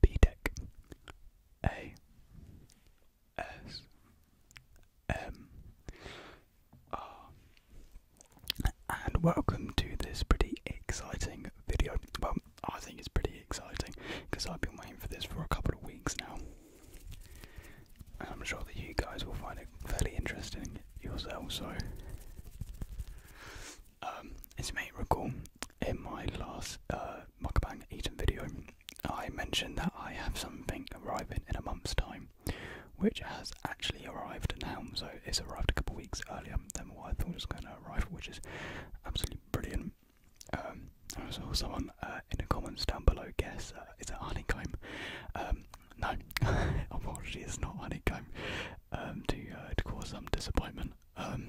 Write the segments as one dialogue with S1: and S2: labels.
S1: B Tech A S M R and welcome to this pretty exciting video. Well, I think it's pretty exciting because I've been waiting for this for a couple of weeks now. And I'm sure that you guys will find it fairly interesting yourselves, so um, as you may recall, in my last uh, Eaton video, I mentioned that I have something arriving in a month's time, which has actually arrived now. So it's arrived a couple of weeks earlier than what I thought it was going to arrive, which is absolutely brilliant. Um, I saw someone uh, in the comments down below guess uh, is it honeycomb? Um, no, unfortunately, it's not honeycomb. Um, to uh, to cause some disappointment, um,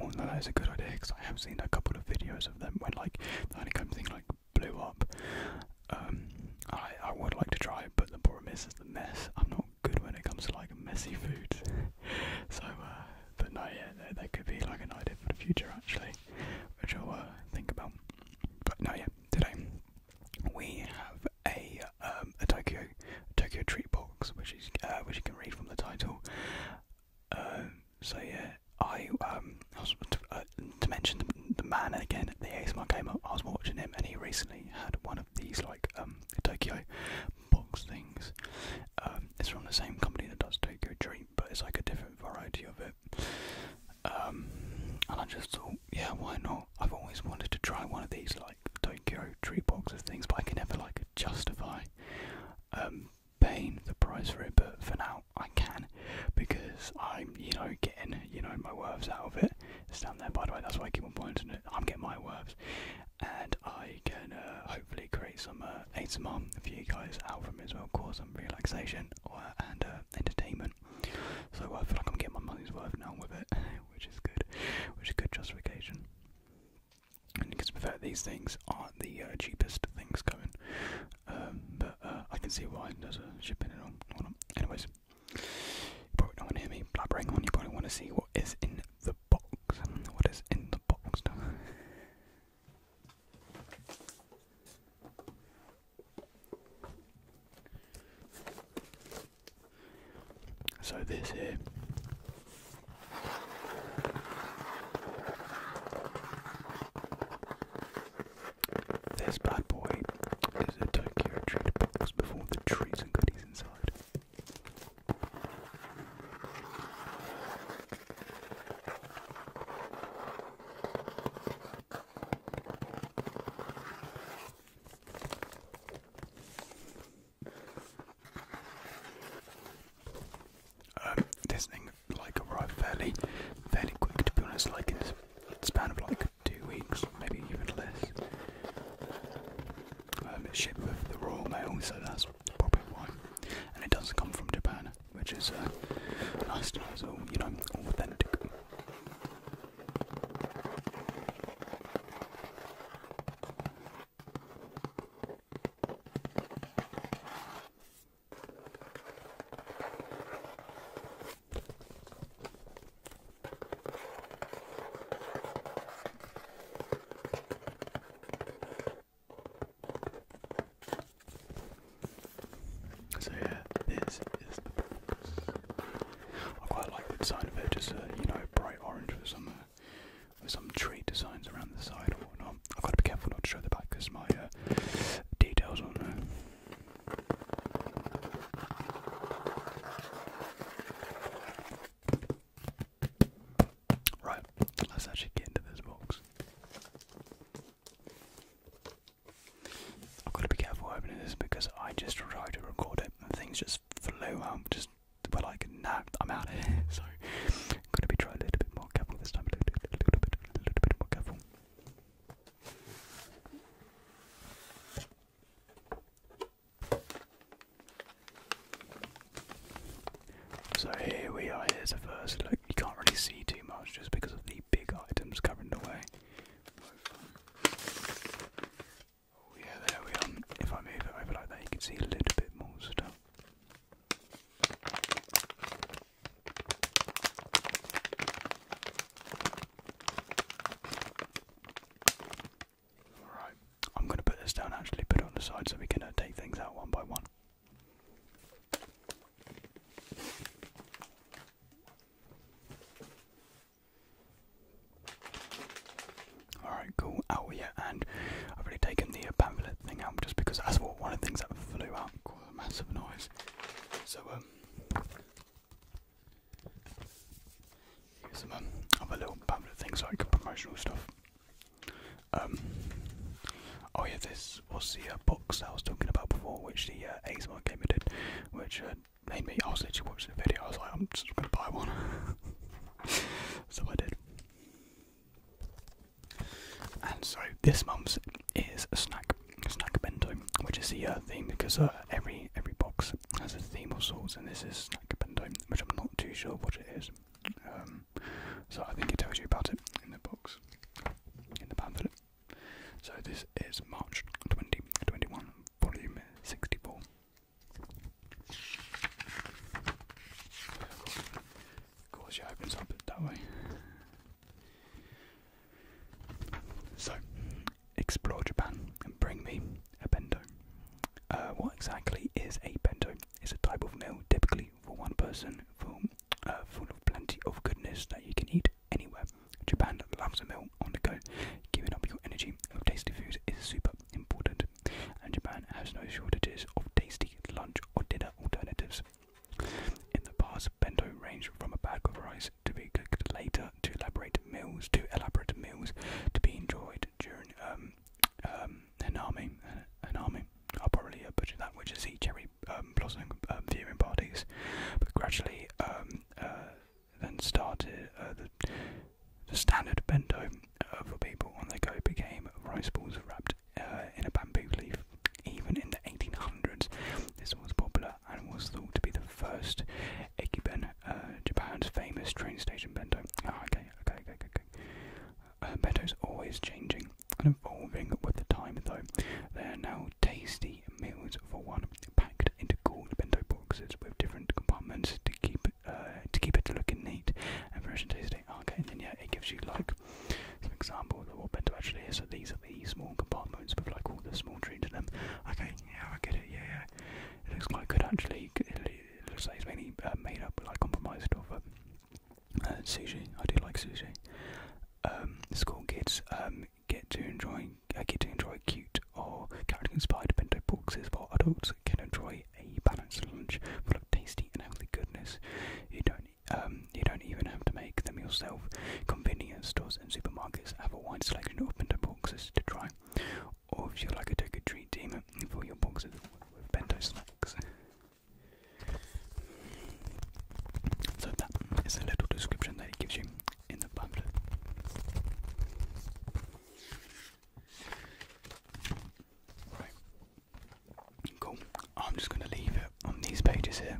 S1: although that is a good idea because I have seen a couple of videos of them when like the honeycomb thing like blew up. Um, I I would like to try, but the problem is, is the mess. I'm not good when it comes to like messy food. so, uh, but no, yeah, they could be like an idea for the future actually, which I'll uh, think about. But no, yeah, today we have a um, a Tokyo Tokyo treat box, which is uh, which you can read from the title. Um, so yeah, I um was, uh, to mention the, man again, the ASMR gamer. I was watching him, and he recently had one of these like um Tokyo box things. Um, it's from the same company that does Tokyo treat, but it's like a different variety of it. Um, and I just thought, yeah, why not? I've always wanted to try one of these like Tokyo tree boxes things, but I can never like justify um, paying the price for it. But for now, I can because I'm you know getting you know my worths out of it. It's down there, by the way. That's why I keep on pointing it. I'm getting my worths, and I can uh, hopefully create some uh, for you guys out from it as well, cause some relaxation or, and uh, entertainment. So I feel like I'm getting my money's worth now with it, which is good, which is good justification because to be uh, these things aren't the uh, cheapest things coming. Um, but uh, I can see why there's a shipping and all. Anyways, you probably don't want to hear me blabbering on. You probably want to see what is in the box. What is in the box? So this here this bad boy is a Tokyo treat box before the treats and goodies inside. Um, this thing like arrived fairly, fairly quick. To be honest, like in the span of like two weeks, maybe even less. Um, it's shipped with the Royal Mail, so that's probably why. And it does come from Japan, which is uh, nice, nice, all you know, authentic. So yeah, this is the I quite like the design of it, just a, you know, bright orange for some with some tree designs around the side or whatnot. I've got to be careful not to show the back because my uh, details on there. Uh, right, let's actually get into this box. I've got to be careful opening this because I just tried to record it and things just flew out, just we're like, I'm out of here. So, I'm gonna be trying a little bit more careful this time, a little, bit, a little bit more careful. So here we are, here's the first look. You can't really see too much just because of the big items covering the way. Oh yeah, there we are. If I move it over like that, you can see a little bit more stuff. Alright, I'm going to put this down actually, put it on the side so we can uh, take things out one by one. Alright, cool. Oh, yeah, and I've already taken the pamphlet thing out just because that's what one of the things that flew out caused a massive noise. So, um, here's some um, other little pamphlet things like promotional stuff. Um, oh, yeah, this was the uh, box I was talking about before, which the uh, game did, which uh, made me. I was literally watching the video, I was like, I'm just gonna buy one. So I did. And so this month's is a snack, snack bento, which is the uh, theme because uh, every every box has a theme of sorts, and this is snack bento, which I'm not too sure what it is. Um, so I think it tells you about it in the box, in the pamphlet. So this is March 2021, volume 64. Of course, yeah, opens up that way. So, explore Japan and bring me a bento. Uh, what exactly is a bento? It's a type of meal, typically for one person, full, uh, full of plenty of goodness that you can eat anywhere. Japan loves a meal on the go. Giving up your energy of tasty food is super important and Japan has no shortages of tasty lunch or dinner alternatives. In the past, bento ranged from a bag of rice to be cooked later to elaborate meals to elaborate meals to be enjoyed during um um hanami uh, hanami. I'll probably uh, butcher that, which is the cherry um, blossom um, viewing parties. But gradually, um, uh, then started uh, the standard bento for people on the go became rice balls wrapped uh, in a bamboo leaf. Even in the 1800s, this was popular and was thought to be the first Ekiben, uh, Japan's famous train station bento. Ah, okay, okay, okay, okay. Uh, bento's always changing and evolving with the time, though. They are now tasty meals for one, packed into cool bento boxes with different compartments to keep uh, to keep it looking neat and fresh and tasty. Okay, then yeah, it gives you like some examples of what bento actually is. So these are the small compartments with like all the small treats in them. Okay, yeah, I get it. Yeah, yeah, it looks quite good actually. It looks like it's mainly uh, made up, like compromised of uh, uh, sushi. I do like sushi. Um, school kids um, get to enjoy uh, get to enjoy cute or character inspired bento boxes, while adults can enjoy a balanced lunch full of tasty and healthy goodness. You don't um, you don't even have to make them yourself. Convenience stores and supermarkets have a wide selection of bento boxes to try, or if you like a take a treat demon your boxes with bento snacks. So that is a little description that it gives you in the pamphlet. Right. Cool. I'm just going to leave it on these pages here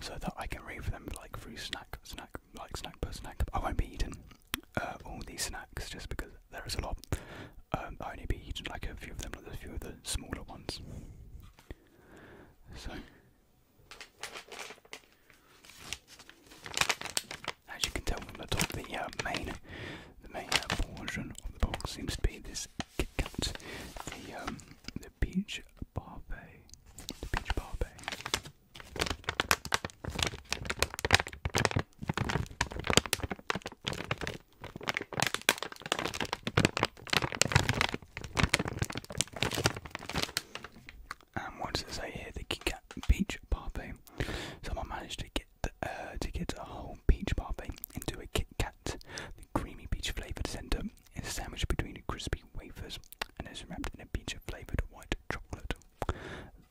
S1: so that I can read them like through snack, snack, like snack per snack. I won't be eating uh, all these snacks just because there is a lot. Um, I only be eating like a few of them, like a few of the smaller ones. So. As you can tell from the top, the uh, main, the main uh, portion of the box seems to be this Kit Kat, the um, the peach parfait, the peach parfait. And what does it say The Kit peach parfait. Someone managed to get the, uh, to get a whole peach parfait into a Kit Kat. The creamy peach flavoured centre is sandwiched between crispy wafers and is wrapped in a peach flavoured white chocolate.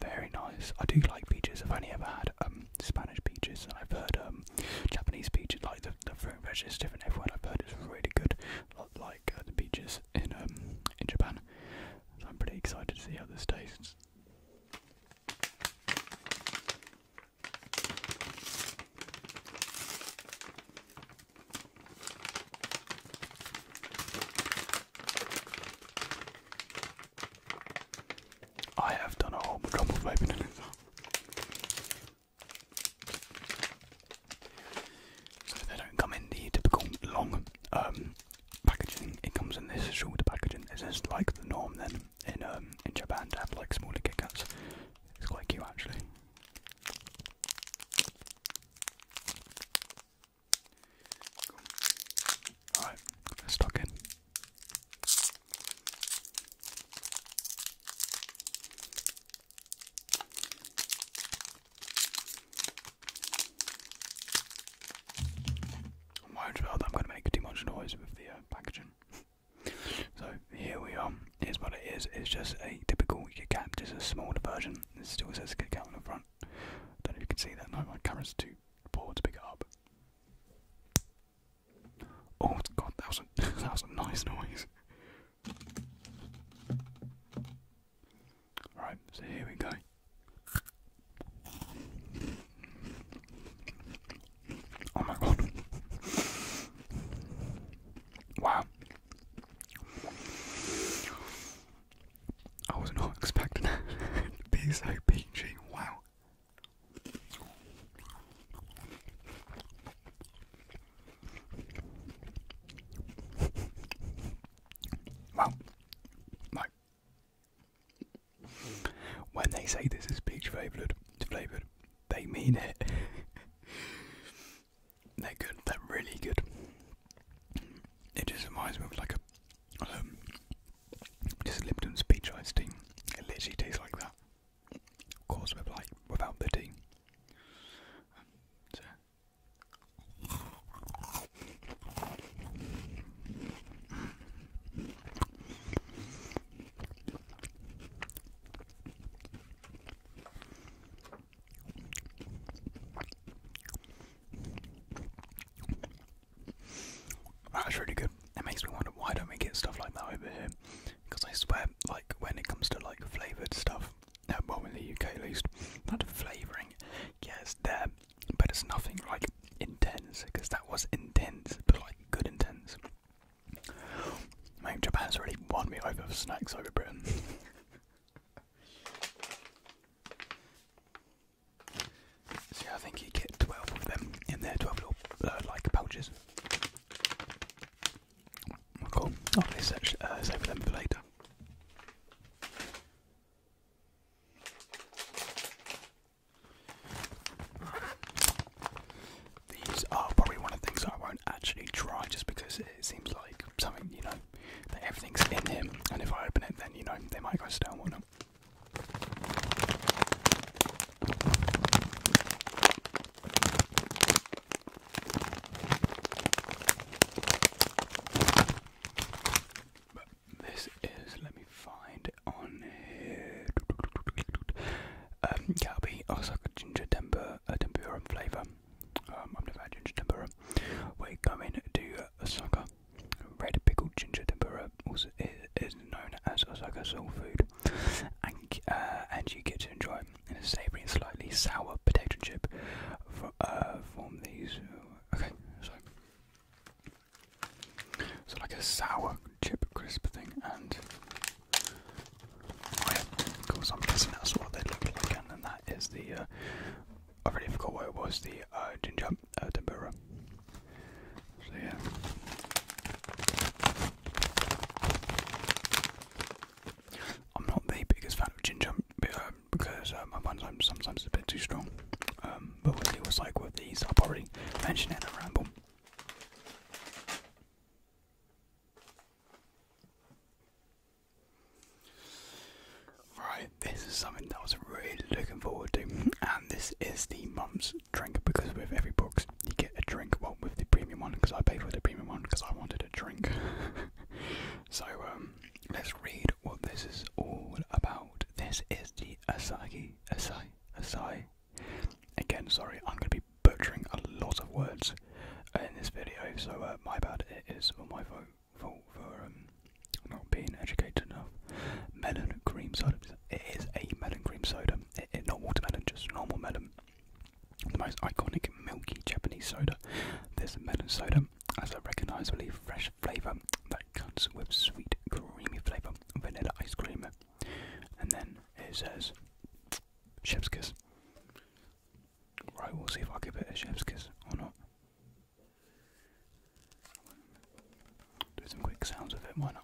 S1: Very nice. I do like peaches. I've only ever had um Spanish peaches, and I've heard um Japanese peaches. Like the the fruit and veg different everywhere. I've heard it's really good. Like uh, the peaches in um in Japan. So I'm pretty excited to see how this tastes. I have done a whole drum So they don't come in the typical long um, packaging. It comes in this shorter packaging. Is this like the norm then in um, in Japan to have like smaller Kit It's quite cute actually. Alright, let's stock in. Might as well, I'm going to make too much noise with the uh, packaging. so here we are. Here's what it is. It's just a typical Kit just a smaller version. It still says Kit Kat on the front. I don't know if you can see that. my camera's too poor to pick up. Oh God, that was a that was a nice noise. Right, so here we go. Oh my god. Wow. I was not expecting it to be so peachy. Wow. Wow. Like, when they say this is peach flavoured, flavoured, they mean it. they're good. They're really good. It just reminds me of like a um, just Lipton's peach iced tea. It literally tastes like that. Of course, with like without the tea. That's really good. It makes me wonder why don't we get stuff like that over here? Because I swear, like when it comes to like flavoured stuff, uh, well in the UK at least, not flavouring, yes, yeah, there, but it's nothing like intense because that was intense, but like good intense. Man, Japan's really won me over for snacks over Britain. See, I think you get twelve of them in there, twelve little uh, like pouches. Oh, cool. Oh, they uh, save them for later. These are probably one of the things I won't actually try just because it seems like something, you know, that everything's in him, and if I open it, then, you know, they might go stale or not this is, let me find it on here. Um, Galbi, Osaka oh, ginger uh, tempura, tempura flavour. Um, I've never had ginger tempura. We're coming to Osaka. Red pickled ginger tempura also is, known as Osaka soul food. And, uh, and you get to enjoy a savoury and slightly sour potato chip for, uh, from these. Okay, so so like a sour chip crisp thing, and of course I'm guessing that's what they look like, and then that is the uh, I already forgot what it was, the uh, ginger uh, tempura. So yeah. I'm not the biggest fan of ginger, um, because um, uh, I sometimes it's a bit too strong. Um, but what it was like with these, I've already mentioned it in the ramble. Right, this is something that I was really looking forward to, and this is the mum's drink because with every box you get a drink. Well, with the premium one because I paid for the premium one because I wanted a drink. so um, let's read what this is all about. This is the Asahi, Asai, Asai. Again, sorry, I'm going to be butchering a lot of words in this video, so uh, my bad, it is my fault, for um, not being educated enough. Melon cream soda, it is a melon cream soda, it, it, not watermelon, just normal melon. The most iconic milky Japanese soda. This melon soda has a recognisably fresh flavour cuts with sweet, creamy flavour, vanilla ice cream. And then it says chef's kiss. Right, we'll see if I give it a chef's kiss or not. Do some quick sounds of it, why not?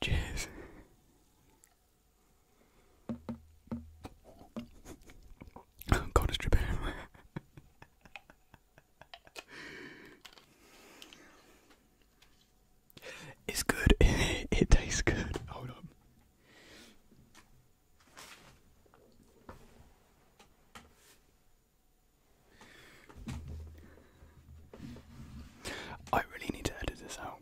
S1: Cheers. God, it's dripping It's good. it tastes good. Hold on. I really need to edit this out.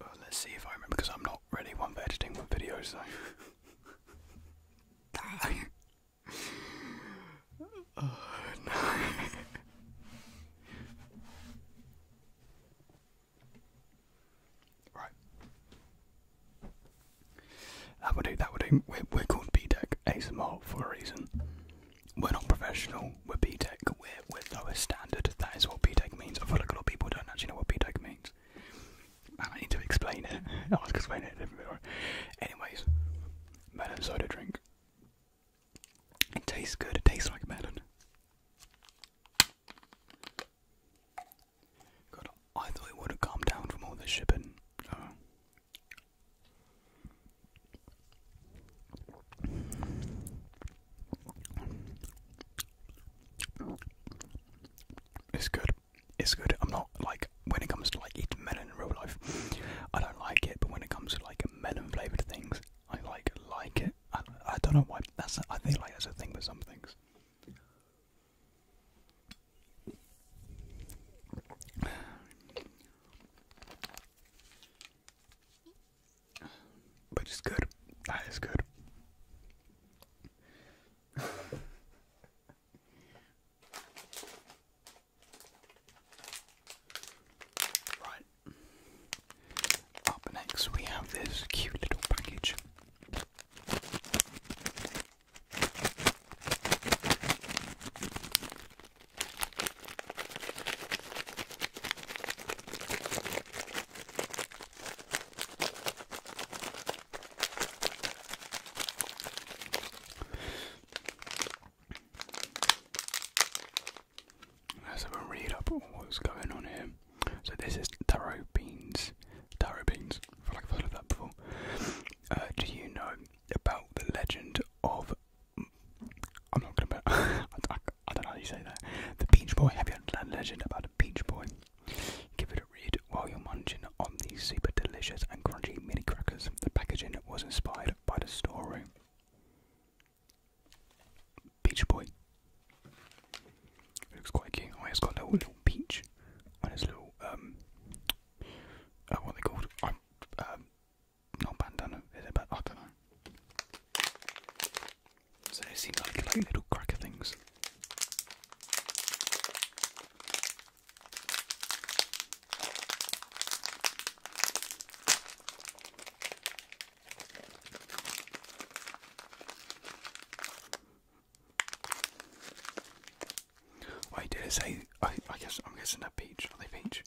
S1: Uh, let's see if I remember because I'm not really one for editing my videos, so. oh, no. Right. That would do, that would do. We're, called B Tech BTEC ASMR for a reason. We're not professional, we're B Tech. we're, we're lower standard. That is what B Tech means. I feel like a lot of people don't actually know what B Tech means. And I need to explain it. I was explain it a different bit. Right? Anyways, melon soda drink. It tastes good, it tastes like melon. I thought it would have calmed down from all the shipping. Oh. It's good. It's good. I'm not like when it comes to like eating melon in real life. I don't like it, but when it comes to like melon flavored things, I like like it. I don't, I don't know why. That's I feel like that's a thing with some things. But it's good. That is good. right. Up next, we have this cute little package. Let's have a read up on what's going on here. So this is taro beans. Taro beans. I have heard of that before. Uh, do you know about the legend of? I'm not gonna. I, don't know how you say that. The Beach Boy. Have you heard the legend about the Beach Boy? Give it a read while you're munching on these super delicious and crunchy mini crackers. The packaging was inspired by the story. Peach Boy. It looks quite cute. Oh, it's got a little, little and on his little, um, uh, what they called? Um, um not bandana, is it? But I don't know. So it seems like, like little cracker things. Wait, did it say? I, guess I'm guessing they're peach. Are they peach?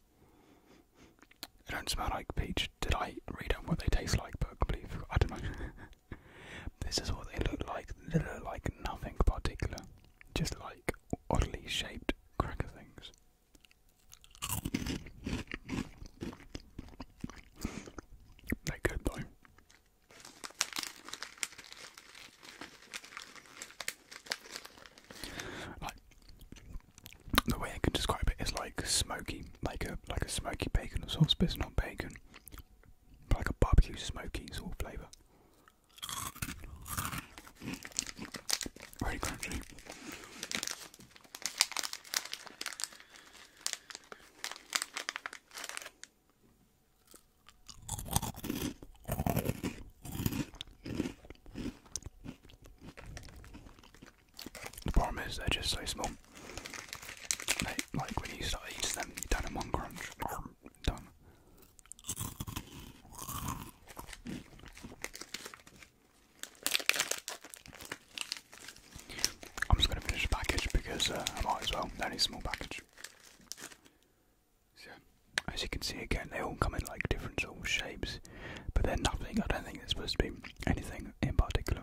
S1: They don't smell like peach. Did I read out what they taste like? But completely, I don't know. this is what they look like. They look like nothing particular, just like oddly shaped cracker things. They good Like the way I can describe it is like smoky, like a like a smoky bacon of sorts, but it's not bacon, but like a barbecue smoky sort of flavour. Very crunchy. The problem is they're just so small. like when you start eating them, you don't in one crunch. done. I'm just going to finish the package because uh, I might as well. That is a small package. as you can see again, they all come in like different sort shapes, but they're nothing. I don't think they're supposed to be anything in particular.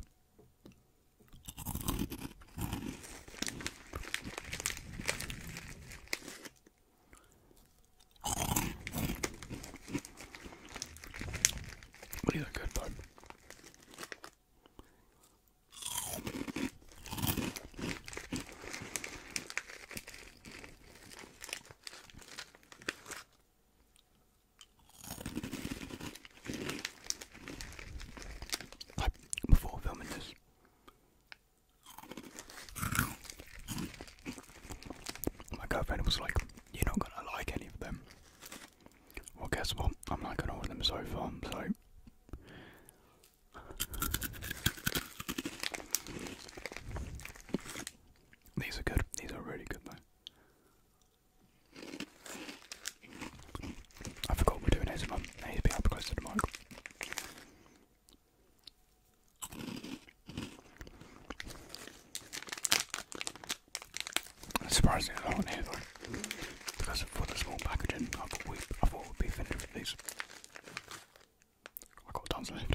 S1: these are good though before filming this. My girlfriend was like, You're not gonna like any of them. Well, guess what? I'm not gonna order them so far, so. These are good. These are really good, though. I forgot we're doing ASMR. I need to be up close the mic. Surprisingly, I don't hear though. Because for the small packaging, I thought, I thought we'd be finished with these. i got tons left.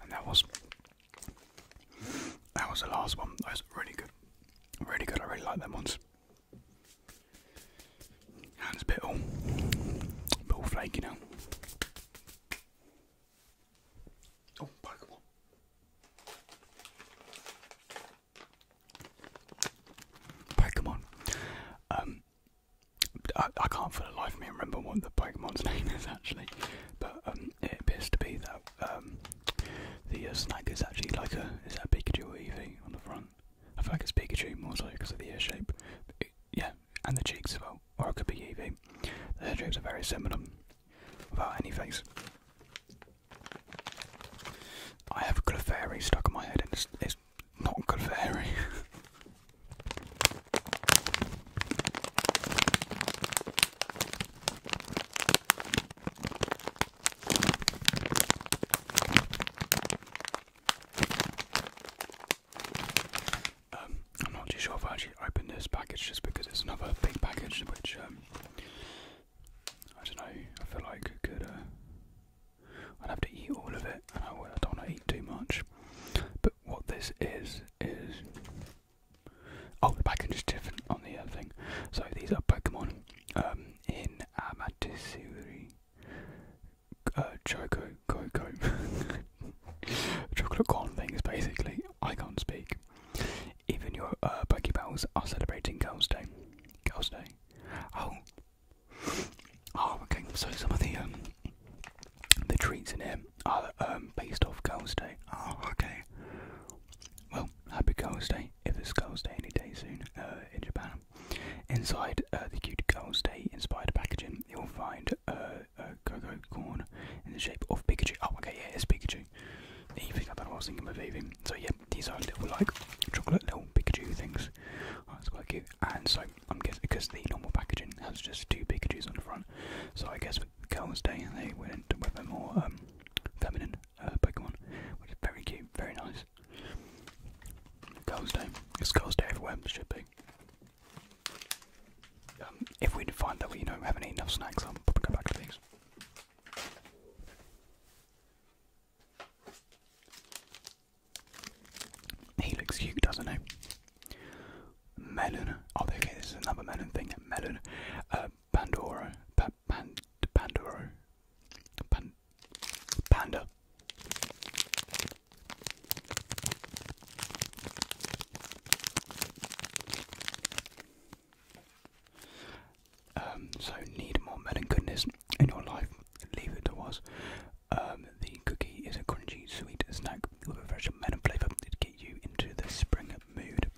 S1: And that was that was the last one. That was really good. Really good. I really like them ones. And bit all, all flaky now. Oh, Pokemon. Pokemon. Um, I, I can't for the life of me remember what the Pokemon's name is actually, but um, it appears to be that um, the uh, is actually like a is that a Pikachu or on the front? I feel like it's Pikachu more so because of the ear shape. yeah, and the cheeks as well or it could be Eevee. The head are very similar without any face. I have a Clefairy stuck in my head and it's, it's not Clefairy. Um, I'm not too sure if I actually open this package just because it's another big package, which um, I don't know. I feel like I could. Uh, I'd have to eat all of it, and I, don't want to eat too much. But what this is is. Oh, the package is different on the other thing. So these are Pokemon um, in Amaterasu uh, choco chocolate con things basically. I can't speak. Even your uh, Pokeballs are celebrating Girls' Day. Girls' Day. Oh. Oh, okay. So some of the um, the treats in here are um, based off Girls' Day. Oh, okay. Well, happy Girls' Day if it's Girls' Day any day soon uh, in Japan. Inside uh, the cute Girls' Day inspired packaging you'll find a uh, corn in the shape of Pikachu. Oh, okay, yeah, it's Pikachu. Even I do I was thinking of even. So yeah, these are little like chocolate little Pikachu things. Oh, that's quite cute. And so I'm guessing because the normal packaging has just two Pikachu's on the front, so I guess for Girls' Day they went with a more um, feminine uh, Pokemon, which is very cute, very nice. Girls' Day. It's Girls' Day everywhere. Should be. Um, if we find that we you know have enough snacks, i am probably go back to these. Helix looks doesn't he? Melon. Oh, okay, this is another melon thing. Melon. Uh, Pandora. Pa Panda. Um, so need more melon goodness in your life, leave it to us. Um, the cookie is a crunchy, sweet snack with a fresh melon flavour to get you into the spring mood.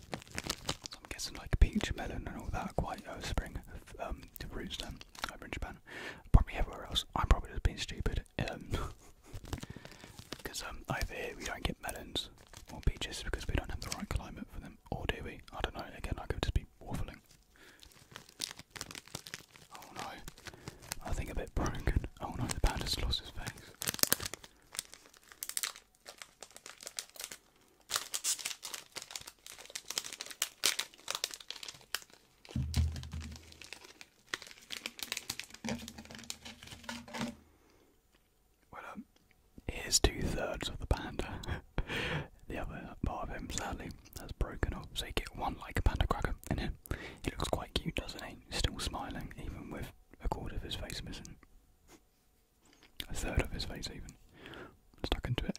S1: I'm guessing like peach melon and all that quite uh, spring to um, roots then. Japan. I'm in Japan. Probably everywhere else. I'm probably just being stupid. because um, um, over here we don't get melons or peaches because we don't have the right climate for them. Or do we? I don't know. Again, I could just be waffling. Oh no. I think a bit broken. Oh no, the panda lost his face. Well, here's um, two thirds of the panda. the other part of him, sadly, has broken up. So you get one like a panda cracker in it He looks quite cute, doesn't he? Still smiling, even with a quarter of his face missing. A third of his face, even. Stuck into it.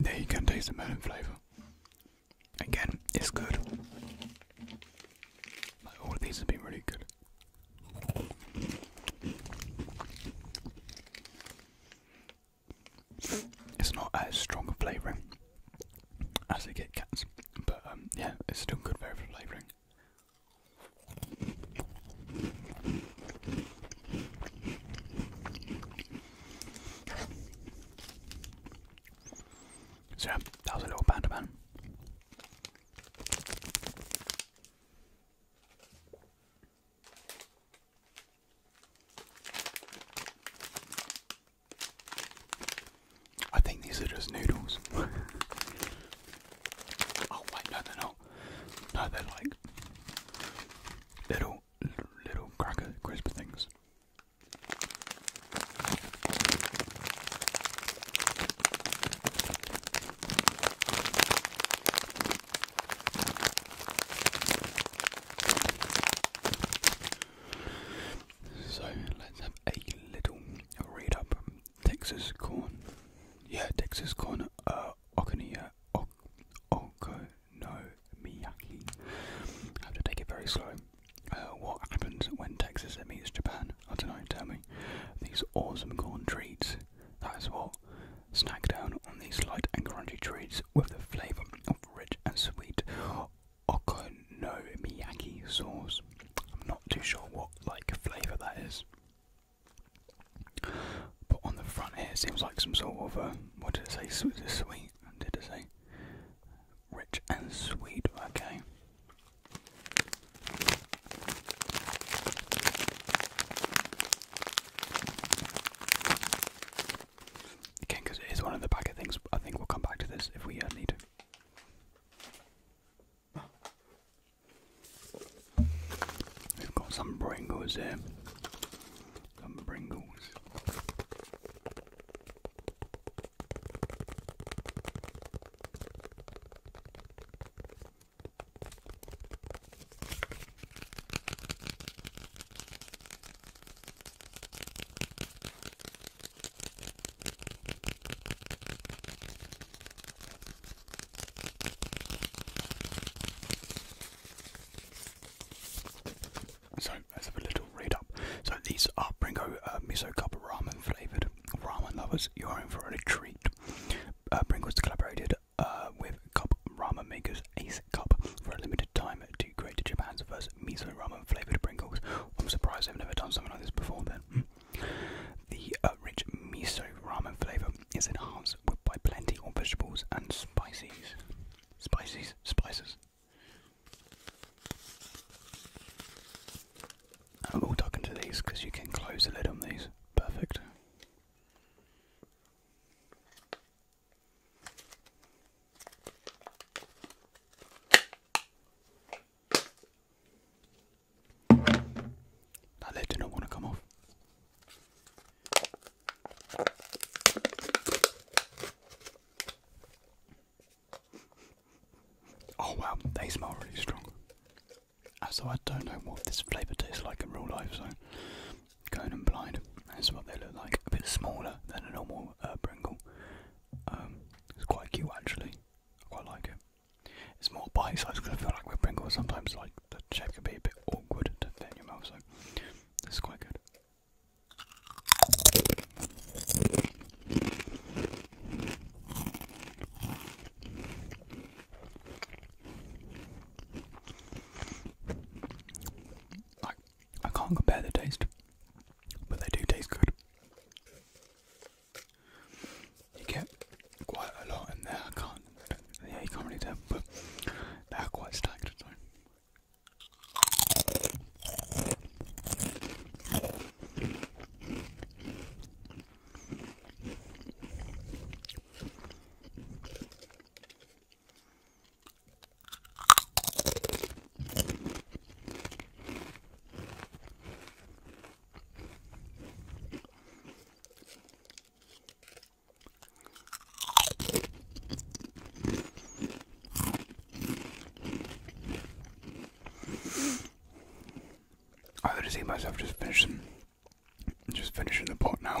S1: there you can taste the melon flavour. Again, it's good. Like, all of these have been really good. It's not as strong a flavouring as the Kit Kats, but um, yeah, it's still good very flavouring. So that was a little panda man. I think these are just noodles. oh wait, no they're not. No, they're like little little, cracker crisp things. So let's have a little read up. Texas corn, yeah, Texas corn. Uh, Okuniya Okonomiyaki. I have to take it very slow. Uh, what happens when Texas meets Japan? I don't know, tell me. These awesome corn treats. That is what. Snack down on these light and crunchy treats with the flavour of rich and sweet Okonomiyaki sauce. I'm not too sure what like flavour that is. But on the front here, it seems like some sort of a, uh, what did I say? Sweet, did it say? Rich and sweet, okay. Again, because it is one of the packet things, I think we'll come back to this if we uh, need to. We've got some Pringles here. Some Pringles. So let a little read up. So these are Bringo uh, miso cup ramen flavoured. Ramen lovers, you are in for a treat. Uh, Bringo's collaborated uh, with cup ramen makers Ace Cup for a limited time to create Japan's first miso ramen flavoured Pringles. I'm surprised I've never done something like this before then. The uh, rich miso ramen flavour is enhanced by plenty of vegetables and spices. Spices, spices. And we'll duck into these because you can close the lid on these. Perfect. That lid did not want to come off. Oh wow, they smell really strong. Uh, so I don't know what this flavour tastes like in real life, so going blind. That's what they look like. A bit smaller than a normal uh, Pringle. Um, it's quite cute actually. I quite like it. It's more bite-sized because I feel like with Pringles sometimes like the shape can be a bit awkward to fit in your mouth, so this is quite good. I, I can't compare the taste, but they do taste good. You get quite a lot in there. I can't yeah, you can't really tell, but they are quite stacked. So. I would see myself just finishing, just finishing the pot now.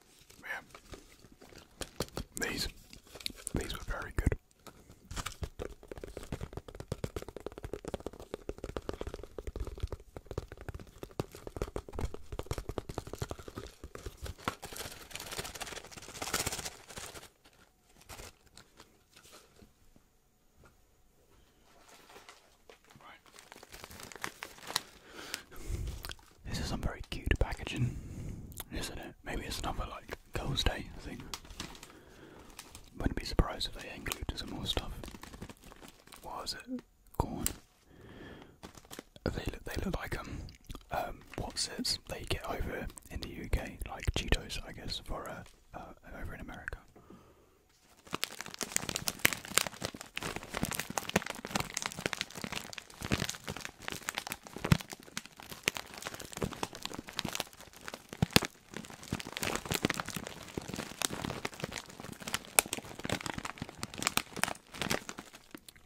S1: Man, these these were very good. Right. This is some very cute packaging, isn't it? Maybe it's another like Girls' Day thing. Wouldn't be surprised if they included some more stuff. What it? Corn. They They look like um, um what's it? They get over in the UK, like Cheetos, I guess, for uh, uh, over in America.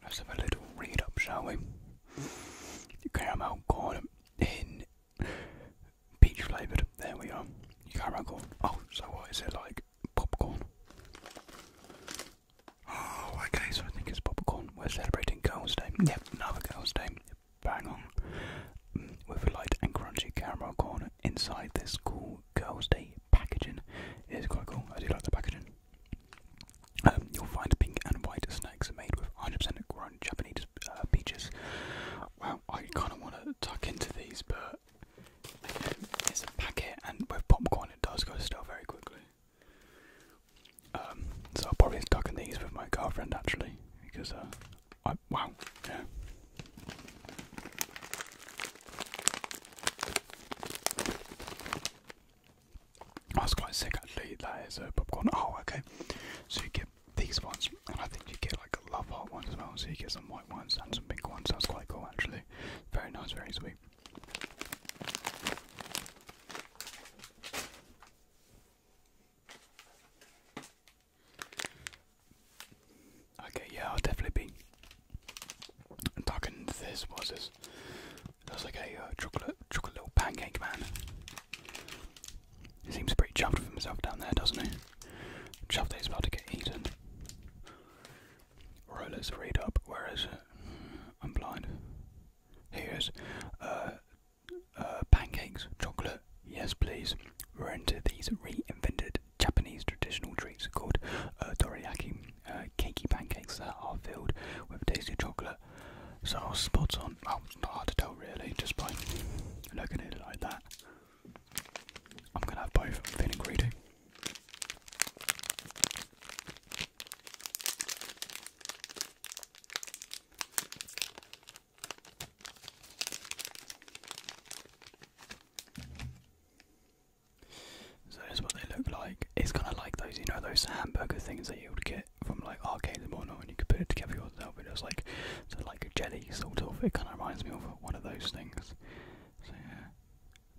S1: Let's have a little read up, shall we? Caramel corn in peach flavoured. There we are. Caramel corn. Oh, so what is it like? Popcorn. Oh, okay, so I think it's popcorn. We're celebrating Girls' Day. Yep, another Girls' Day. Bang on. Mm, with a light and crunchy caramel corn inside this cool Girls' Day packaging. It is quite cool. I do like the packaging. Um, you'll find pink and white snacks made with 100% grown Japanese uh, peaches. Wow, I kind of want to tuck into these, but it's a packet, and with popcorn, it does go stale very quickly. Um, so I'll probably stuck in these with my girlfriend actually, because uh, I wow, yeah. I was quite sick actually. That is a uh, popcorn. Oh, okay. So you get these ones, and I think you get like a love heart ones as well. So you get some white ones and some pink ones. That's quite cool actually. Very nice, very sweet. Okay, yeah, I'll definitely be talking this was this. That was like a uh, chocolate, chocolate little pancake man. seems pretty chuffed with himself down there, doesn't he? Chuffed that he's about to get eaten. Rollers, read up. Whereas I'm blind. Here's uh, uh, pancakes, chocolate, yes please. We're into these reinvented Japanese traditional treats called uh, dorayaki, uh, cakey pancakes that are filled with tasty chocolate. So spots on. Well, it's not hard to tell really, just by looking at it like that. I'm gonna have both. I'm feeling greedy. So that's what they look like. It's kind of like those, you know, those hamburger things that you would get from like arcades and whatnot, and you could put it together yourself. It was like, so like a jelly sort of. It kind of reminds me of one of those things. So yeah,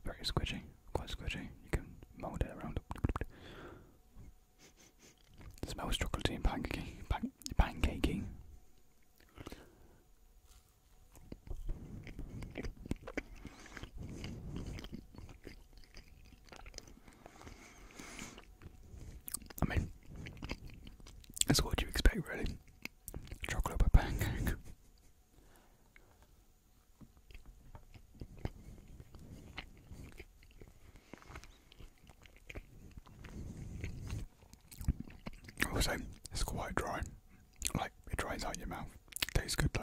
S1: very squishy, quite squishy. You can mould it around. Smells chocolatey and pancakey. Pan pancakey. I mean, that's what you expect, really. Chocolate by pancake. Also, it's quite dry. Like, it dries out your mouth. Tastes good though.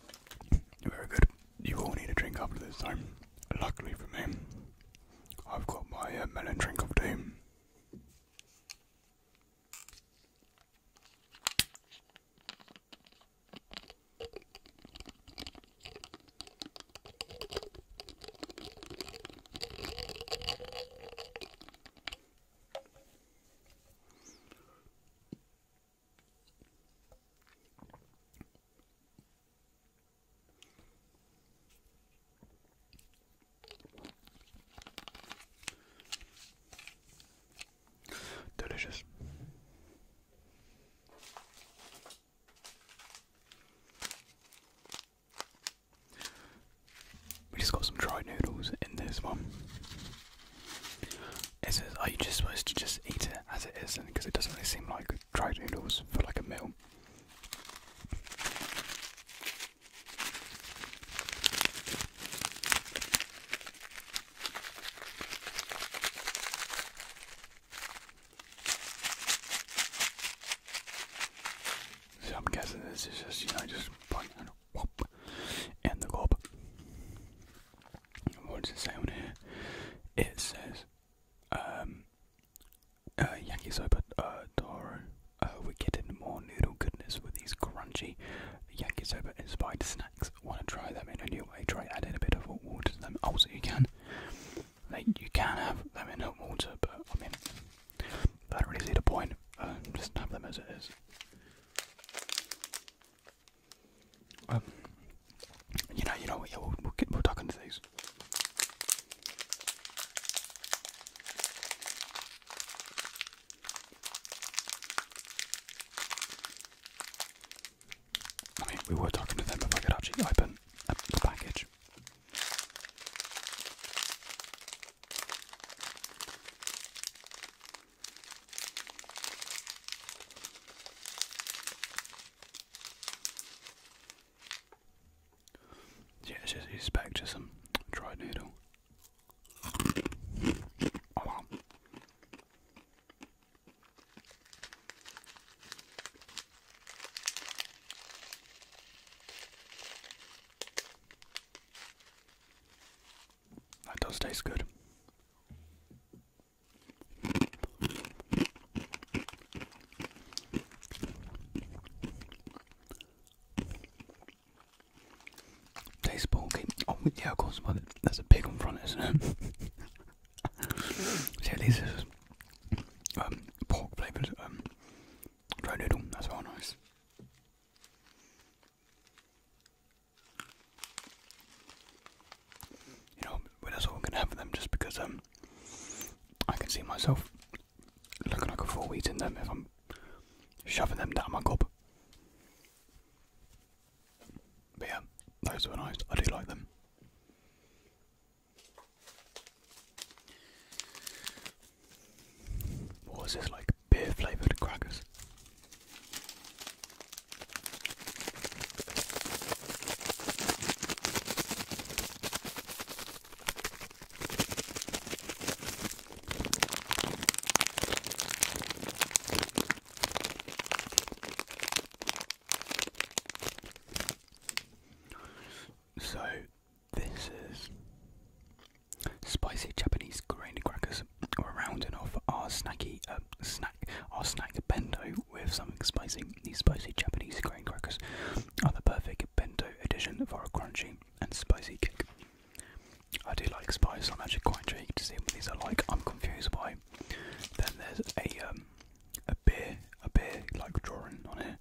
S1: Very good. You all need a drink after this time. Luckily for me, I've got my uh, melon drink of doom. Delicious. We just got some dry noodles in this one. It "Are you just supposed to just eat it as it is?" Because it doesn't really seem like dried noodles for like a meal. So I'm guessing this is just you know just Whoop. And the globe. What does it say on here? It says, um, uh, yakisoba uh, taro, uh, we're getting more noodle goodness with these crunchy yakisoba inspired snacks. Want to try them in a new way? Try adding a bit of hot water to them. Also, you can, like, you can have them in hot water, but I mean, I don't really see the point. Um, just have them as it is. Um, you know, you know Yeah, we'll, get, we'll duck into these. I mean, we were talking to them if I could actually open the package. Yeah, it's just it's back to some dried noodle. Oh, that does taste good. Taste bulky. Oh, yeah, of course, but a pig on front, isn't it? See, at this is um, pork flavoured dry um, noodle. That's all nice. You know, but that's all i gonna have them just because um I can see myself looking like a fool eating them if I'm shoving them down my gob. But yeah, those were nice. I do like them. What was this like? beer flavoured crackers. So, this is Spicy Japanese grain crackers were rounding off our snacky uh, snack our snack bento with something spicy. These spicy Japanese grain crackers are the perfect bento addition for a crunchy and spicy kick. I do like spice. I'm actually quite intrigued to see what these are like. I'm confused why. Then there's a um, a beer, a beer like drawing on it.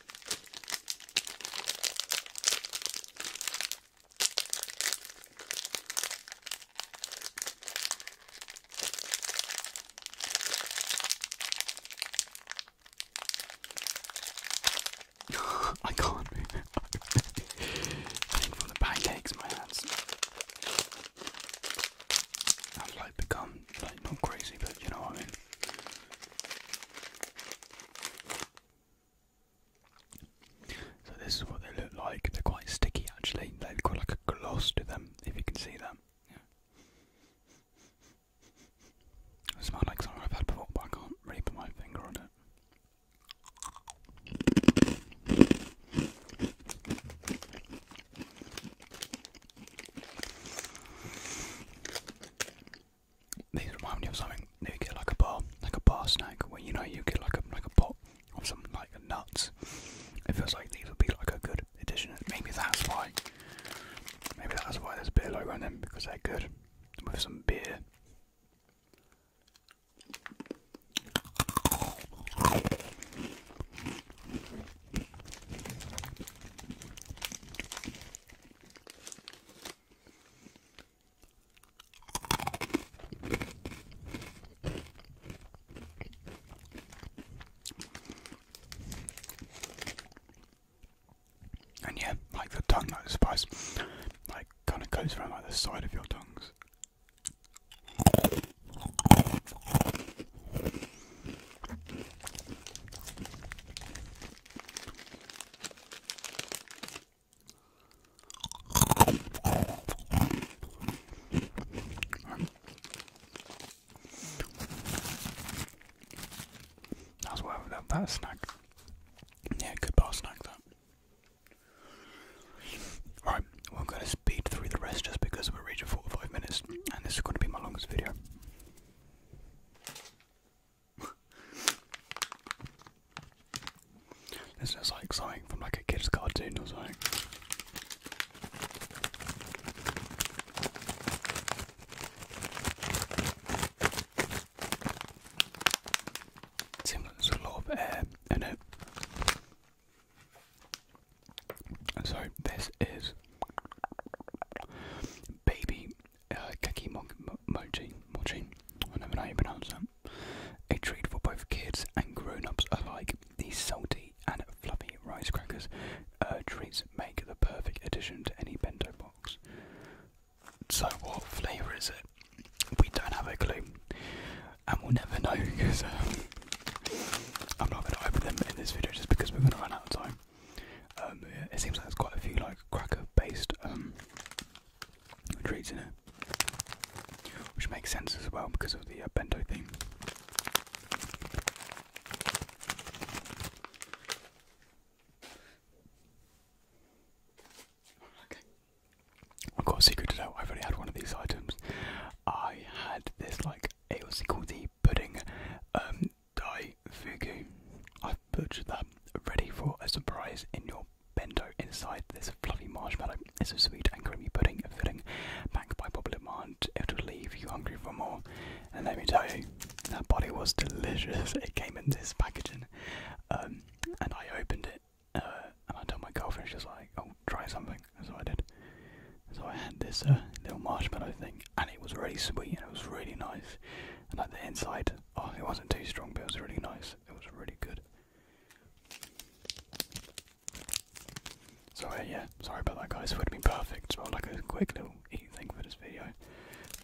S1: I can't move I think from the pancakes, my hands have like become not crazy, but you know what I mean. So this is what they look like. They're quite sticky actually. They've got like a gloss to them, if you can see them, It smells like something I've had before, but I can't really put my finger on it. These remind me of something. You get like a bar, like a bar snack, where you know you get like a like a pot of some like nuts. It feels like these would be like a good addition. Maybe that's why. Maybe that's why there's a beer logo on them because they're good with some beer. And yeah, like the tongue, like the spice, like kind of goes around like the side of your tongues. That's why I that, that snack. Yeah, good bar snack that. Alright, well, I'm going to speed through the rest just because we're reaching 45 minutes and this is going to be my longest video this is like something from like a kid's cartoon or something. It seems like a lot of air in it. So this is baby uh, Keki Mo Mo Mochi, Mochi, I know how you pronounce that, a treat for both kids and grown-ups alike. These salty and fluffy rice crackers uh, treats make the perfect addition to any bento box. So what flavour is it? We don't have a clue. And we'll never know because um, I'm not going to open them in this video just because we're going to run out of time. Um, it seems like there's quite a few like cracker-based um, treats in it, which makes sense as well because of the uh, bento theme. Okay. I've got a secret to tell. I've already had one of these items. I had this like it was called the pudding um, Dai Fugu. I've purchased that ready for a surprise in your bento inside this fluffy marshmallow. It's a sweet and creamy pudding filling backed by popular demand. It'll leave you hungry for more. And let me tell you, that body was delicious. It came in this packaging. Um, and I opened it uh, and I told my girlfriend, she was like, oh, try something. So I did. So I had this uh, little marshmallow thing and it was really sweet and it was really nice. And at the inside Oh, it wasn't too strong, but it was really nice. It was really good. So yeah, sorry about that, guys. It would have been perfect. It's well, like a quick little eat thing for this video,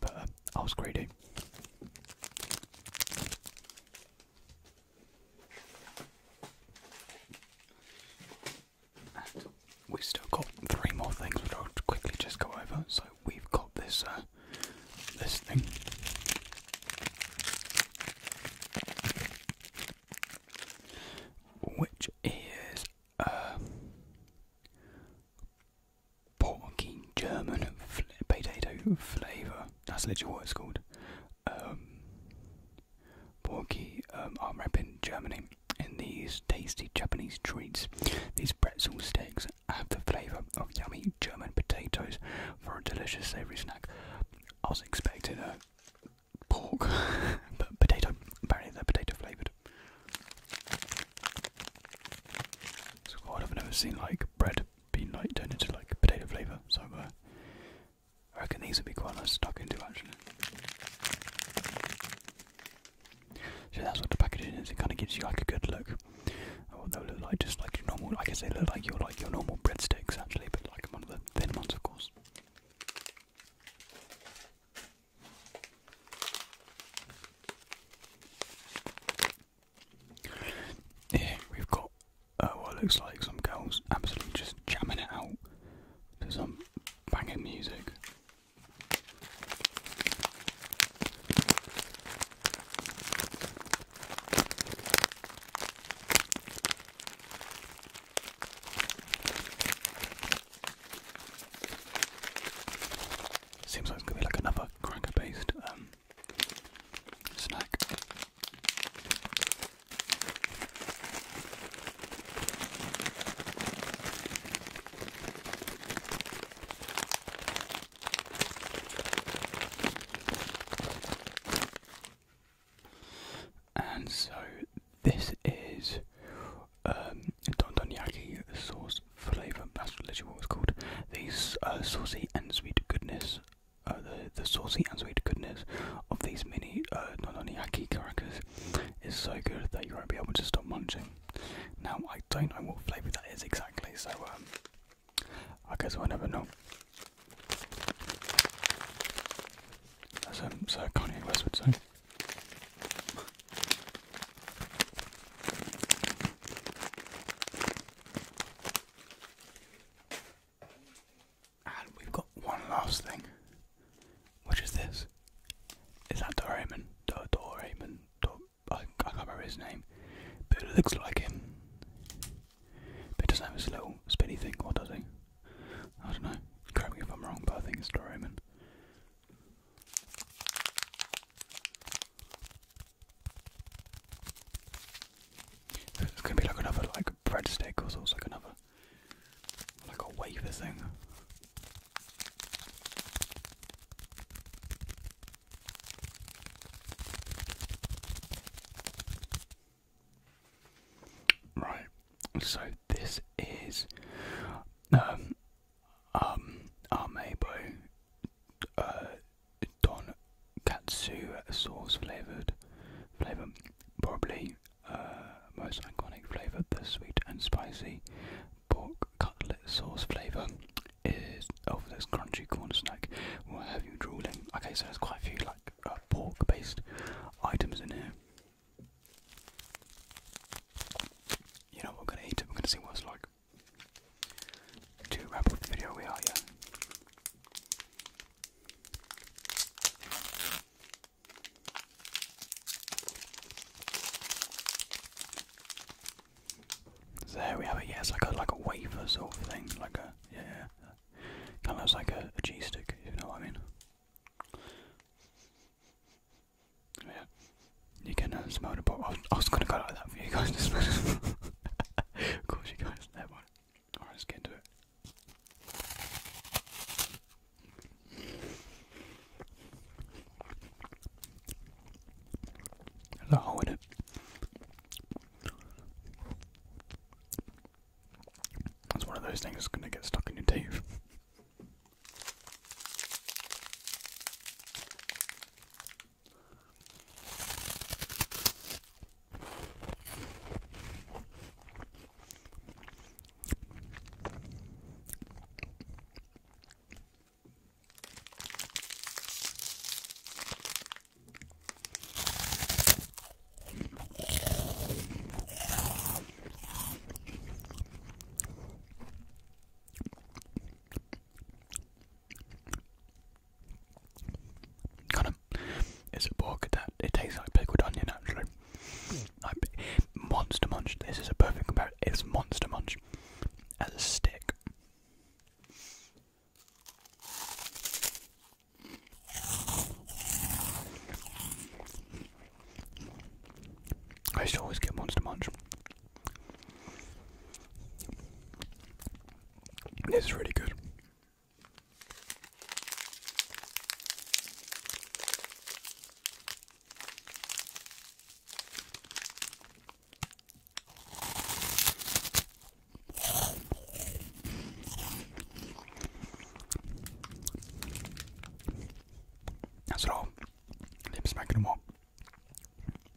S1: but uh, I was greedy. we still got three more things which I'll quickly just go over. So we've got this uh, this thing. Which is uh, porky German potato flavour. That's literally what it's called. porky um, are um, in Germany in these tasty Japanese treats. These pretzel sticks have the flavour of yummy German potatoes for a delicious savoury snack. I was expecting a pork, but potato. Apparently they're potato flavoured. It's I've never seen like bread be like turned into like potato flavour. So uh, I reckon these would be quite nice to stuck into actually. So that's what the packaging is. It kind of gives you like a good look. Oh, they look like just like your normal. I guess look like your like your normal breadsticks actually, but like one of the thin ones, of course. Here we've got uh, what looks like some girls absolutely just jamming it out to some banging music. Seems like it's gonna be like another cracker based um, snack. And so this is um, sauce flavor. That's literally what it's called. These uh, saucy and sweet goodness, uh, the saucy and sweet goodness of these mini uh, don don yaki is so good that you won't be able to stop munching. Now I don't know what flavour that is exactly, so um, I guess we'll never know. Um, so Kanye West would say. And we've got one last thing, which is this. Is that Doraemon? Do Doraemon? Do I, I can't remember his name, but it looks like him. But it doesn't have little spinny thing, or does he? I don't know. Correct me if I'm wrong, but I think it's Doraemon. It's gonna be like another like breadstick or something, like another like a wafer thing. Right, so this is um um Amebo uh Don Katsu sauce flavoured flavour probably uh most iconic flavour, the sweet and spicy pork cutlet sauce flavour is over oh, this crunchy corn snack will have you drooling. Okay, so there's quite a few like uh, pork-based items in here. You know what, we're gonna eat it, we're gonna see what it's like. Do wrap up the video, we are, yeah. So there we have it. Yeah, it's like a like a wafer sort of thing, like a yeah, kind of looks like a, cheese stick, you know what I mean. Yeah, you can uh, smell the bottle. I was, I was gonna go like that for you guys to smell. of course, you guys. Never right, let's get into it. That's one of those things that's going to get stuck in your teeth. Kind of is a pork that it tastes like pickled onion actually. Like Monster Munch, this is a perfect comparison. It's Monster Munch as a stick, I used to always get Monster Munch. This is really good. That's all. Lips smacking them all.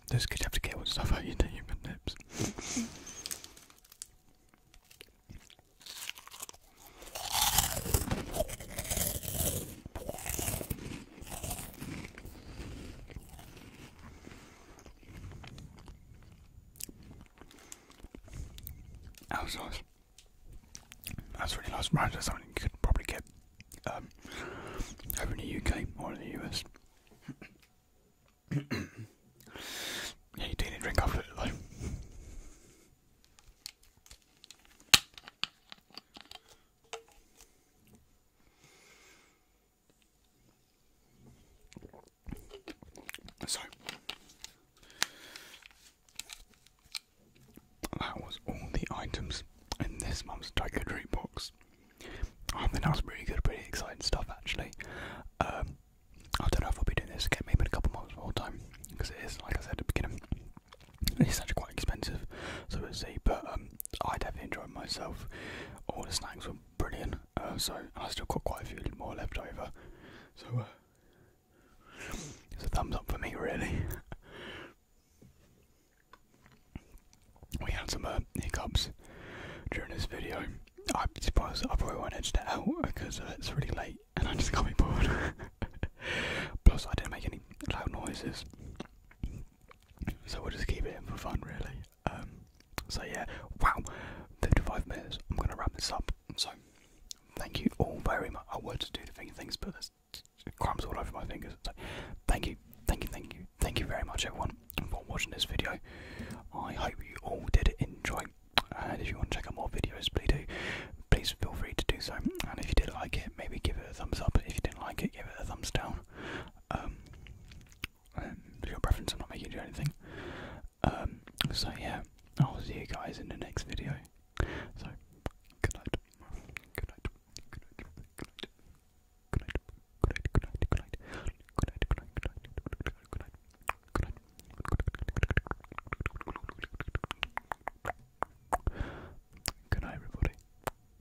S1: Those kids have to care what stuff I eat human lips. That nice. That's really nice. Right, that's something you could probably get um, over in the UK or in the US. yeah, you do need drink after it though. So that was all the items in this month's Tiger box. I think that was pretty good, pretty exciting stuff actually. Um, I don't know if I'll be doing this again, maybe in a couple months more time, because it is, like I said at the beginning, it's actually quite expensive, so we'll see. But um, I definitely enjoyed myself. All the snacks were brilliant. Uh, so I still got quite a few more left over. So uh, it's a thumbs up for me, really. we had some uh, hiccups during this video. I'm surprised I probably won't edit it out because uh, it's really late and I just can't bored. Plus, I didn't make any loud noises. So we'll just keep it in for fun, really. Um, so yeah, wow, 55 minutes. I'm gonna wrap this up. So thank you all very much. I wanted to do the thing things, but there's crumbs all over my fingers. So thank you, thank you, thank you, thank you very much, everyone, for watching this video. I hope you all did enjoy. And if you want to check out more videos, please do. Please feel free to do so. And if you did like it, maybe give it a thumbs up. If you didn't like it, give it a thumbs down. Um, um your preference, I'm not making you anything. Um, so yeah, I'll see you guys in the next video. So, good night. Good night. Good night. Good night. Good night. Good night. Good night. Good night. Good night. Good night. Good night. Good night. Good night. Good night, everybody.